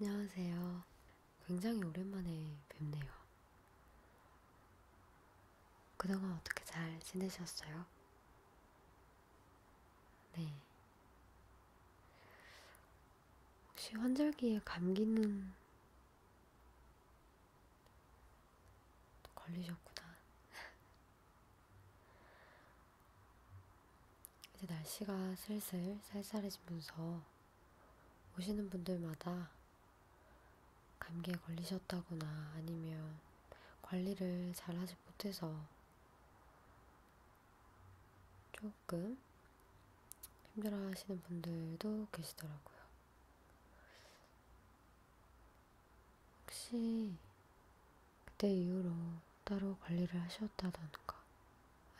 안녕하세요. 굉장히 오랜만에 뵙네요. 그동안 어떻게 잘 지내셨어요? 네. 혹시 환절기에 감기는 걸리셨구나. 이제 날씨가 슬슬 쌀쌀해지면서 오시는 분들마다 감기에 걸리셨다거나 아니면 관리를 잘 하지 못해서 조금 힘들어 하시는 분들도 계시더라고요. 혹시 그때 이후로 따로 관리를 하셨다던가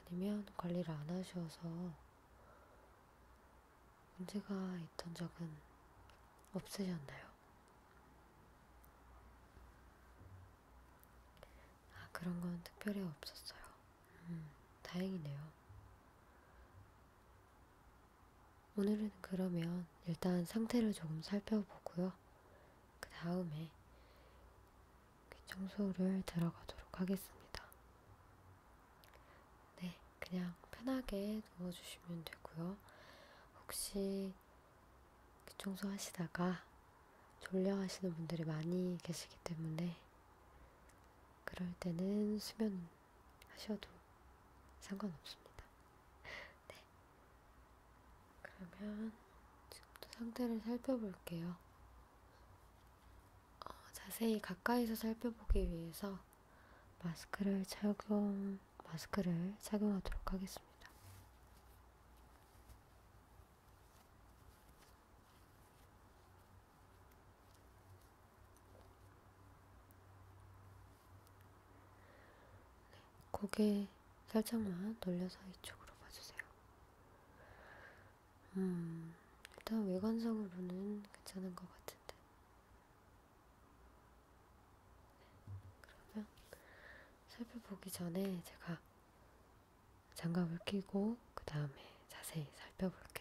아니면 관리를 안 하셔서 문제가 있던 적은 없으셨나요? 아, 그런 건 특별히 없었어요. 음, 다행이네요. 오늘은 그러면 일단 상태를 조금 살펴보고요. 그 다음에 귀청소를 들어가도록 하겠습니다. 네, 그냥 편하게 누워주시면 되고요. 혹시 귀청소 하시다가 졸려 하시는 분들이 많이 계시기 때문에 그럴 때는 수면 하셔도 상관없습니다. 네. 그러면 지금부터 상태를 살펴볼게요. 어, 자세히 가까이서 살펴보기 위해서 마스크를 착용, 마스크를 착용하도록 하겠습니다. 네, 고개 살짝만 돌려서 이쪽으로 봐주세요. 음, 일단 외관상으로는 괜찮은 것 같은데. 그러면 살펴보기 전에 제가 장갑을 끼고 그 다음에 자세히 살펴볼게요.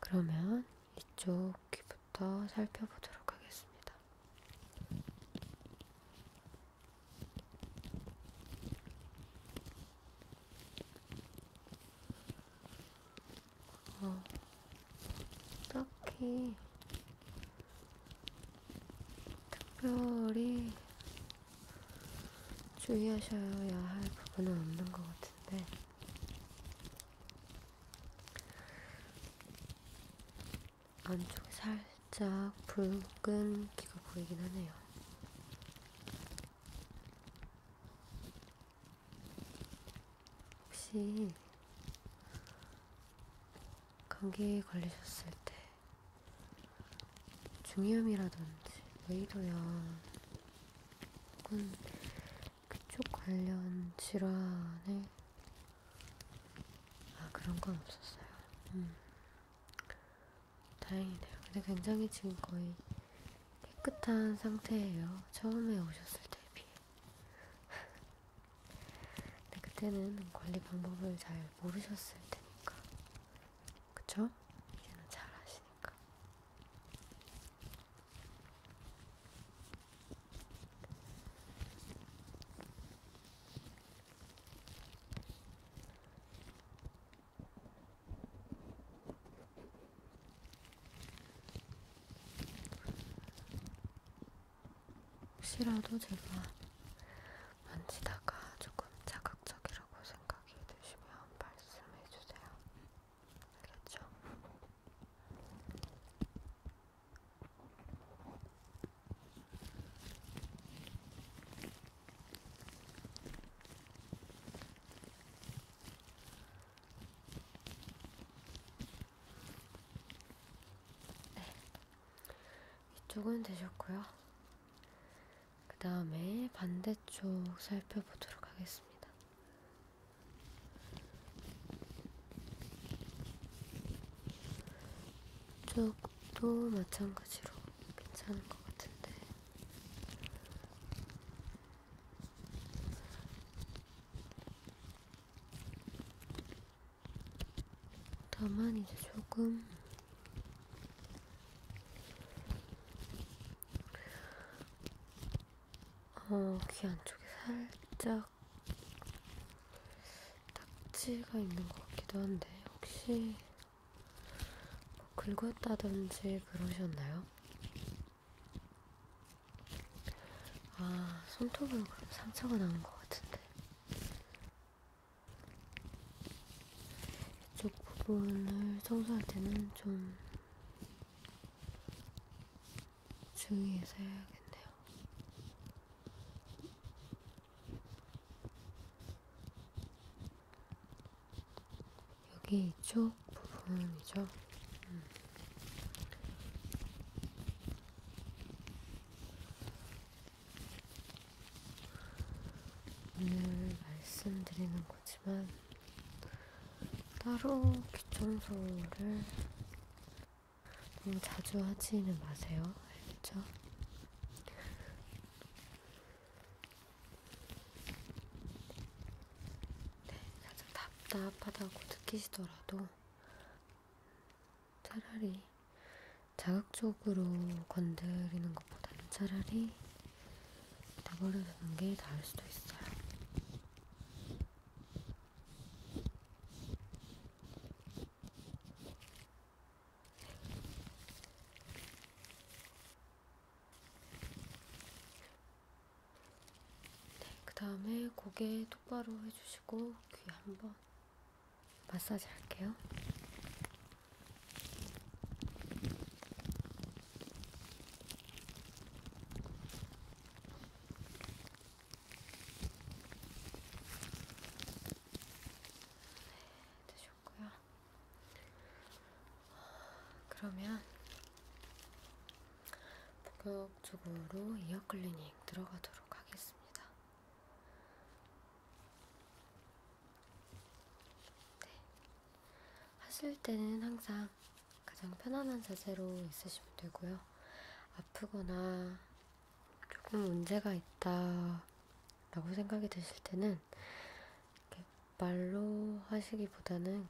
그러면 이쪽 귀부터 살펴보도록 하겠습니다. 어, 딱히 특별히 주의하셔야 할 부분은 없는 것 같은데 안쪽에 살짝 붉은 기가 보이긴 하네요. 혹시 감기에 걸리셨을 때 중이염이라든지 외이도염 혹은 그쪽 관련 질환에 아 그런 건 없었어요. 음. 다행이네요. 근데 굉장히 지금 거의 깨끗한 상태예요. 처음에 오셨을 때 비해. 근데 그때는 관리 방법을 잘 모르셨을 테니까. 그쵸? 이제는 잘 아시니까. 혹시라도 제가 만지다가 조금 자극적이라고 생각이 드시면 말씀해 주세요. 알겠죠? 네. 이쪽은 되셨고요. 그 다음에 반대쪽 살펴보도록 하겠습니다. 이쪽도 마찬가지로 괜찮은 것 같은데. 다만 이제 조금 어, 귀 안쪽에 살짝 딱지가 있는 것 같기도 한데 혹시 뭐 긁었다든지 그러셨나요? 아, 손톱으로 그럼 상처가 나는 것 같은데. 이쪽 부분을 청소할 때는 좀 주의해서 해야겠네요. 여기 이쪽 부분이죠. 음. 오늘 말씀드리는 거지만 따로 귀청소를 너무 자주 하지는 마세요. 알겠죠? 네, 살짝 답답하다고 느끼시더라도 차라리 자극적으로 건드리는 것보다는 차라리 내버려두는 게 나을 수도 있어요. 네, 그 다음에 고개 똑바로 해주시고 귀 한번 마사지 할게요. 네, 되죠. 하고요. 그러면 본격적으로 이어 클리닉 들어가도록 하겠습니다. 네. 하실 때는 항상 가장 편안한 자세로 있으시면 되고요. 아프거나 조금 문제가 있다 라고 생각이 드실 때는 이렇게 말로 하시기보다는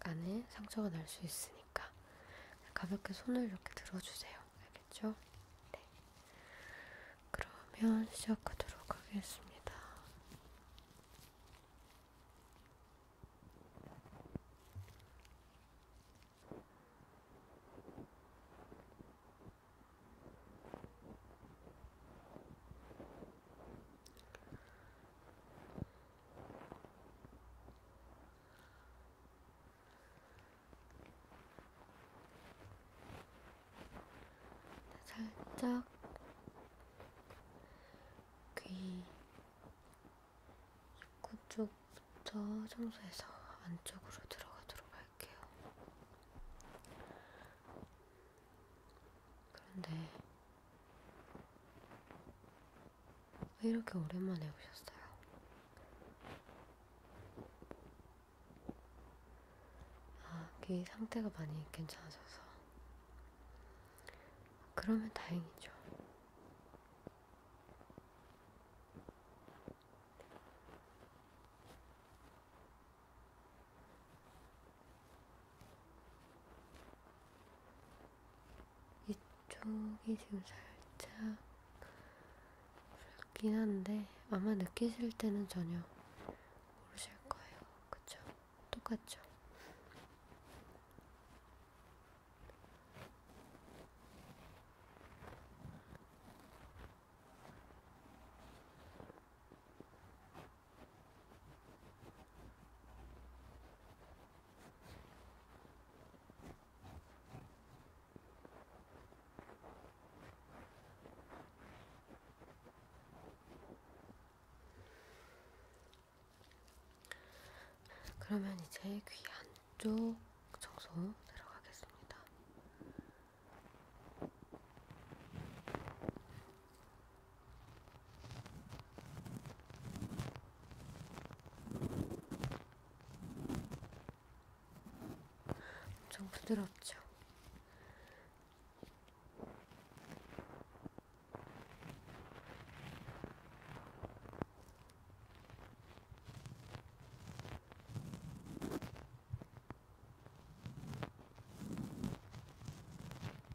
안에 상처가 날 수 있으니까 가볍게 손을 이렇게 들어주세요. 알겠죠? 네. 그러면 시작하도록 하겠습니다. 살짝 귀 입구 쪽부터 청소해서 안쪽으로 들어가도록 할게요. 그런데 왜 이렇게 오랜만에 오셨어요? 아, 귀 그 상태가 많이 괜찮아져서 그러면 다행이죠. 이쪽이 지금 살짝 붉긴 한데 아마 느끼실 때는 전혀 모르실 거예요. 그쵸? 똑같죠? 그러면 이제 귀 안쪽 청소 들어가겠습니다. 엄청 부드럽죠.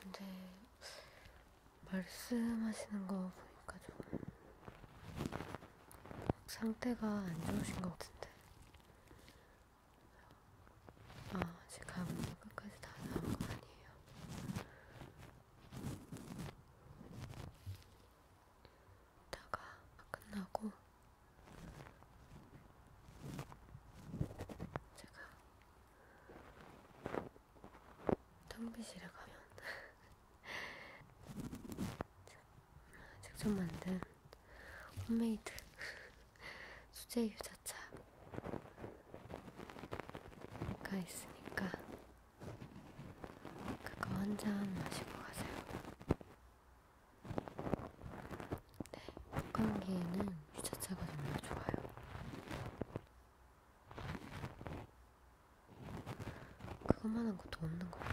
근데 말씀하시는 거 보니까 좀 상태가 안 좋으신 것 같은데 아, 제가 뭐 끝까지 다 나온 건 아니에요. 이따가 끝나고 제가 텅비실에 가면 직접 만든 홈메이드 수제 유자차가 있으니까 그거 한 잔 마시고 가세요. 네, 북한기에는 유자차가 정말 좋아요. 그것만한 것도 없는 것 같다.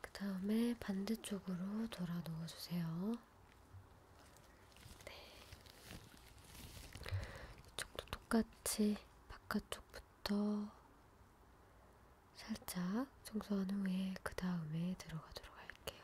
그 다음에 반대쪽으로 돌아 놓아주세요. 네. 이쪽도 똑같이 바깥쪽부터 살짝 청소한 후에 그 다음에 들어가도록 할게요.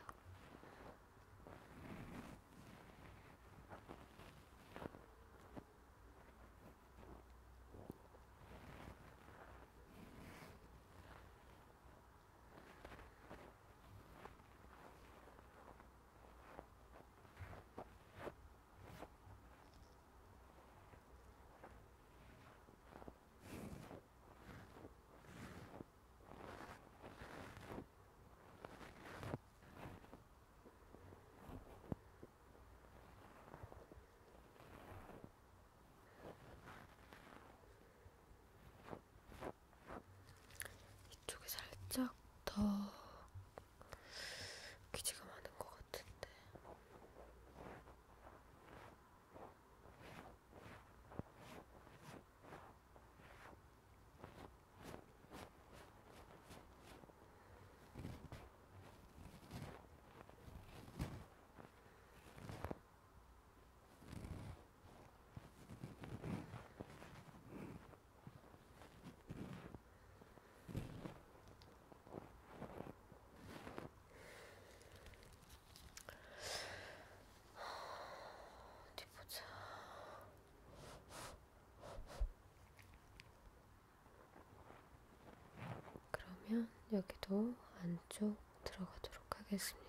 이쪽에 살짝 더 귀지가 많은 것 같아요. 같은데. 어디 보자. 그러면 여기도 안쪽 들어가도록 하겠습니다.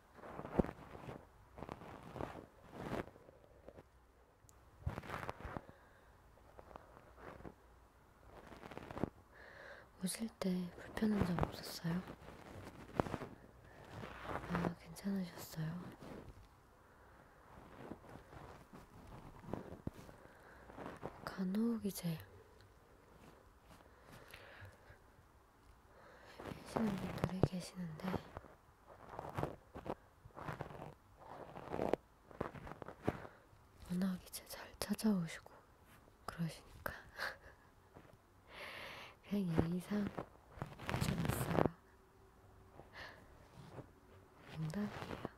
오실 때 불편한 점 없었어요? 아, 괜찮으셨어요? 간혹 이제 계시는 분들이 계시는데 워낙 이제 잘 찾아오시고 그러시니까 그냥 예의상 해줘놨어요 농담이에요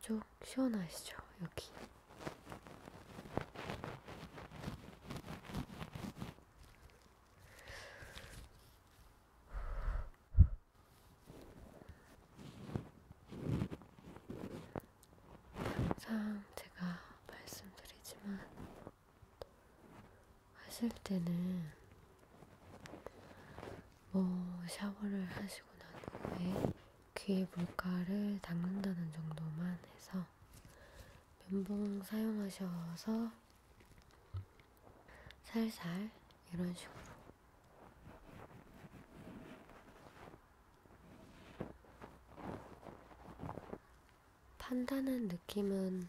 이쪽 시원하시죠? 여기. 항상 제가 말씀드리지만 하실 때는 뭐 샤워를 하시고 난 후에 귀에 물가를 닦는다는 정도만 해서 면봉 사용하셔서 살살 이런 식으로 판다는 느낌은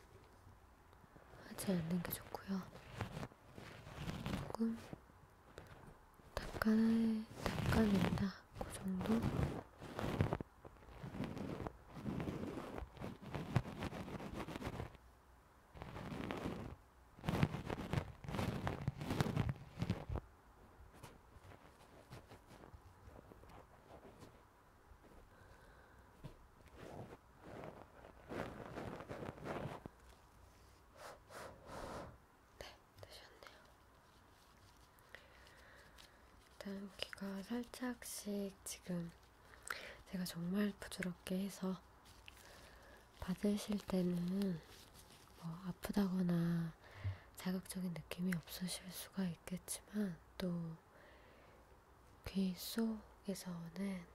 하지 않는 게 좋고요. 조금 닦아내, 닦아낸다. 그 정도? 네, 되셨네요. 일단 귀가 살짝씩 지금 제가 정말 부드럽게 해서 받으실 때는 뭐 아프다거나 자극적인 느낌이 없으실 수가 있겠지만 또귀 속에서는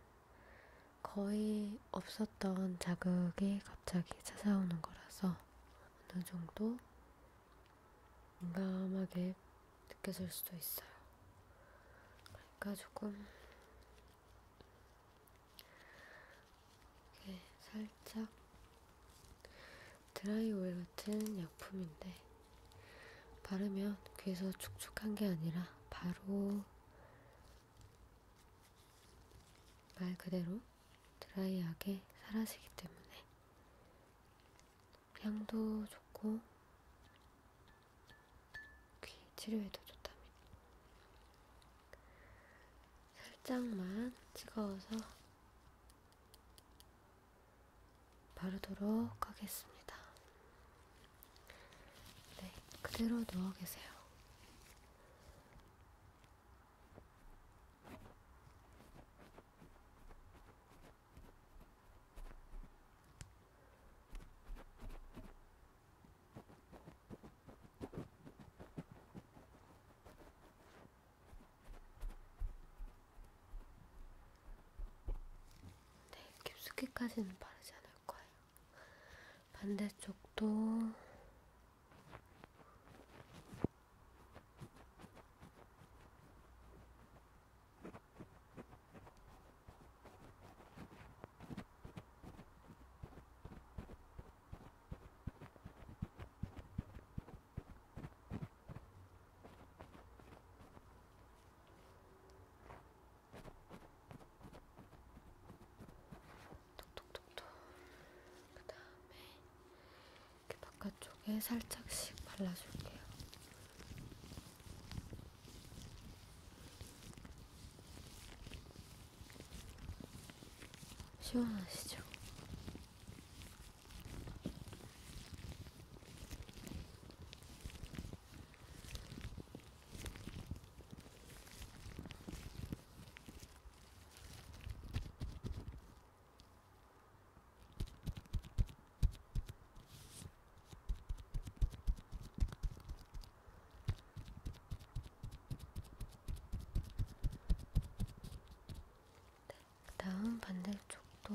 거의 없었던 자극이 갑자기 찾아오는 거라서 어느 정도 민감하게 느껴질 수도 있어요. 그러니까 조금 살짝 드라이오일 같은 약품인데 바르면 귀에서 촉촉한 게 아니라 바로 말 그대로 드라이하게 사라지기 때문에 향도 좋고 귀 치료에도 좋답니다. 살짝만 찍어서 바르도록 하겠습니다. 네, 그대로 누워 계세요. 네, 깊숙이까지는 바르지 않을 거예요. 반대쪽도 톡톡톡톡. 그 다음에 이렇게 바깥쪽에 살짝씩 발라줄게요. 시원하시죠? 네, 그 다음 반대쪽도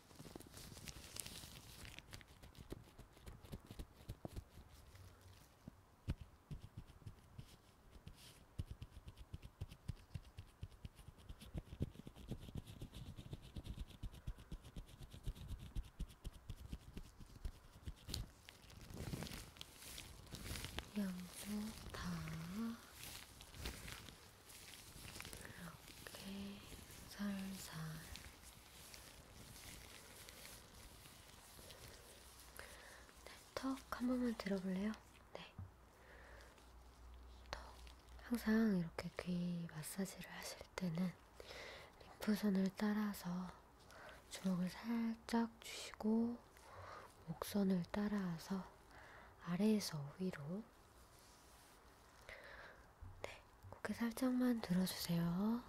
양쪽 다 이렇게 살살 네, 턱한 번만 들어볼래요? 네. 턱. 항상 이렇게 귀 마사지를 하실 때는 림프선을 따라서 주먹을 살짝 주시고 목선을 따라서 아래에서 위로 네, 고개 살짝만 들어주세요.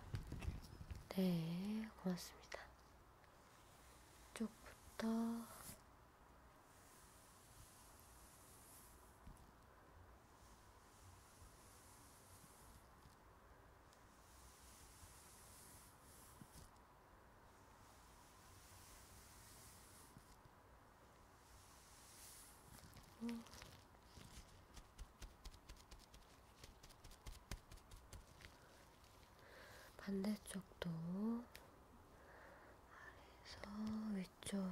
네, 고맙습니다. 이쪽부터 반대쪽도 아래에서 위쪽으로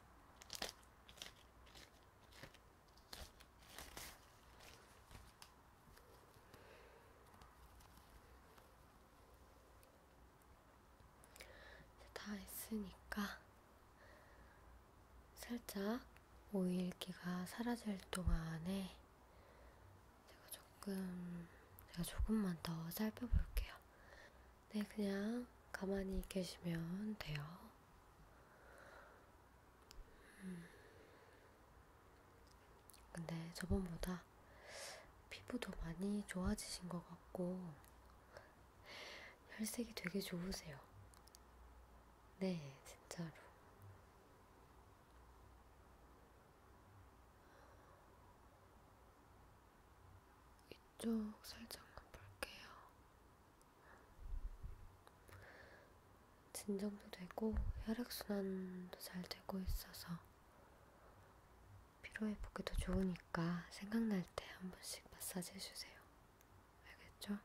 다 했으니까 살짝 오일기가 사라질 동안에 제가 조금 제가 조금만 더 살펴볼게요. 네, 그냥 가만히 계시면 돼요. 음. 근데 저번보다 피부도 많이 좋아지신 것 같고, 혈색이 되게 좋으세요. 네, 진짜로. 이 이쪽 살짝만 볼게요. 진정도 되고 혈액순환도 잘 되고 있어서 피로회복에도 좋으니까 생각날 때 한 번씩 마사지 해주세요. 알겠죠?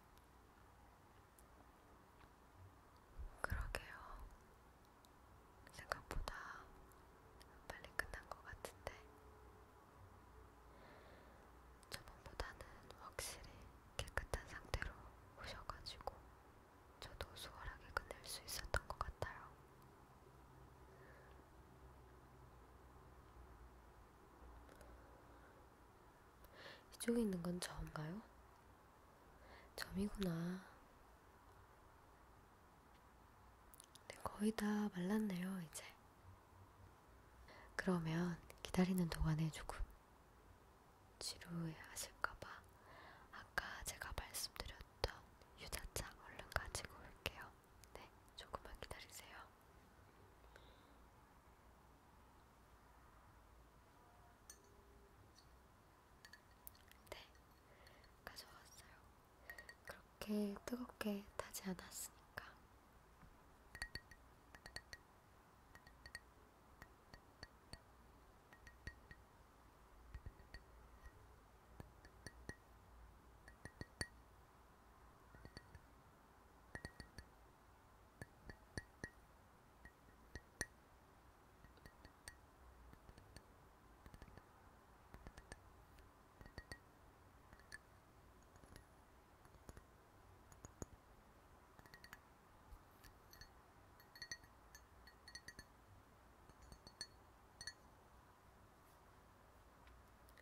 그러게요. 생각보다 빨리 끝난 것 같은데. 저번보다는 확실히 깨끗한 상태로 오셔가지고 저도 수월하게 끝낼 수 있었던 것 같아요. 이쪽에 있는 건 점인가요? 점이구나. 네, 거의 다 말랐네요, 이제. 그러면 기다리는 동안에 조금 지루해 하실까봐 아까 제가 말씀드렸던 유자차 얼른 가지고 올게요. 네, 조금만 기다리세요. 네, 가져왔어요. 그렇게 뜨겁게 타지 않았으니까.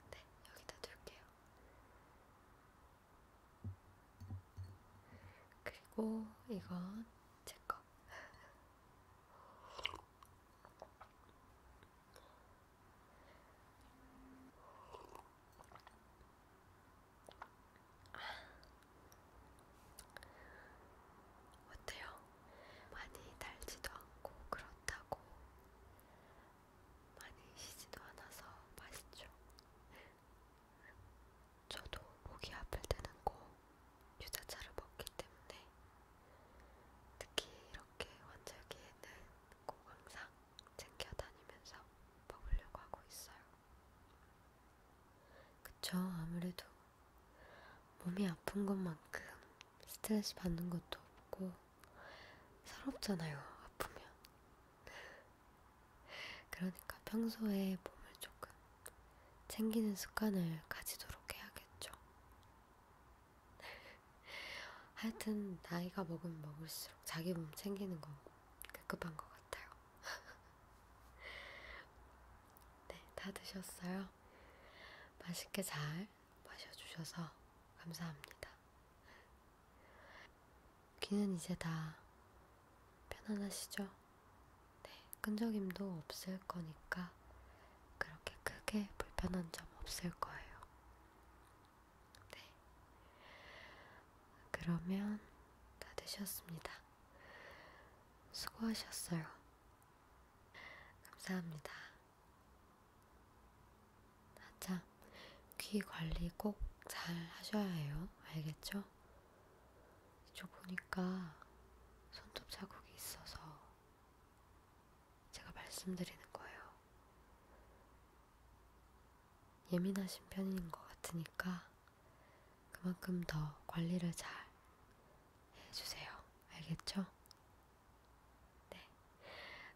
네, 여기다 둘게요. 그리고 이건 제 거. 어때요? 많이 달지도 않고 그렇다고 많이 시지도 않아서 맛있죠? 저도 목이 아플 때는 꼭 유자차를 먹기 때문에 특히 이렇게 원절기에는 꼭 항상 챙겨다니면서 먹으려고 하고 있어요. 그쵸, 아무래도 몸이 아픈 것만큼 스트레스 받는 것도 없고 서럽잖아요, 아프면. 그러니까 평소에 몸을 조금 챙기는 습관을 가지도록 해야겠죠. 하여튼 나이가 먹으면 먹을수록 자기 몸 챙기는 건 급급한 것 같아요. 네, 다 드셨어요. 맛있게 잘 마셔주셔서 감사합니다. 귀는 이제 다 편안하시죠? 네, 끈적임도 없을 거니까 그렇게 크게 불편한 점 없을 거예요. 네. 그러면 다 되셨습니다. 수고하셨어요. 감사합니다. 아참, 귀 관리 꼭 잘 하셔야 해요. 알겠죠? 이쪽 보니까 손톱 자국이 있어서 제가 말씀드리는 거예요. 예민하신 편인 것 같으니까 그만큼 더 관리를 잘 해주세요. 알겠죠? 네.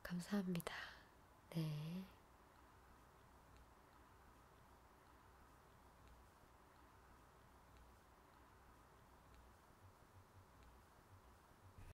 감사합니다. 네.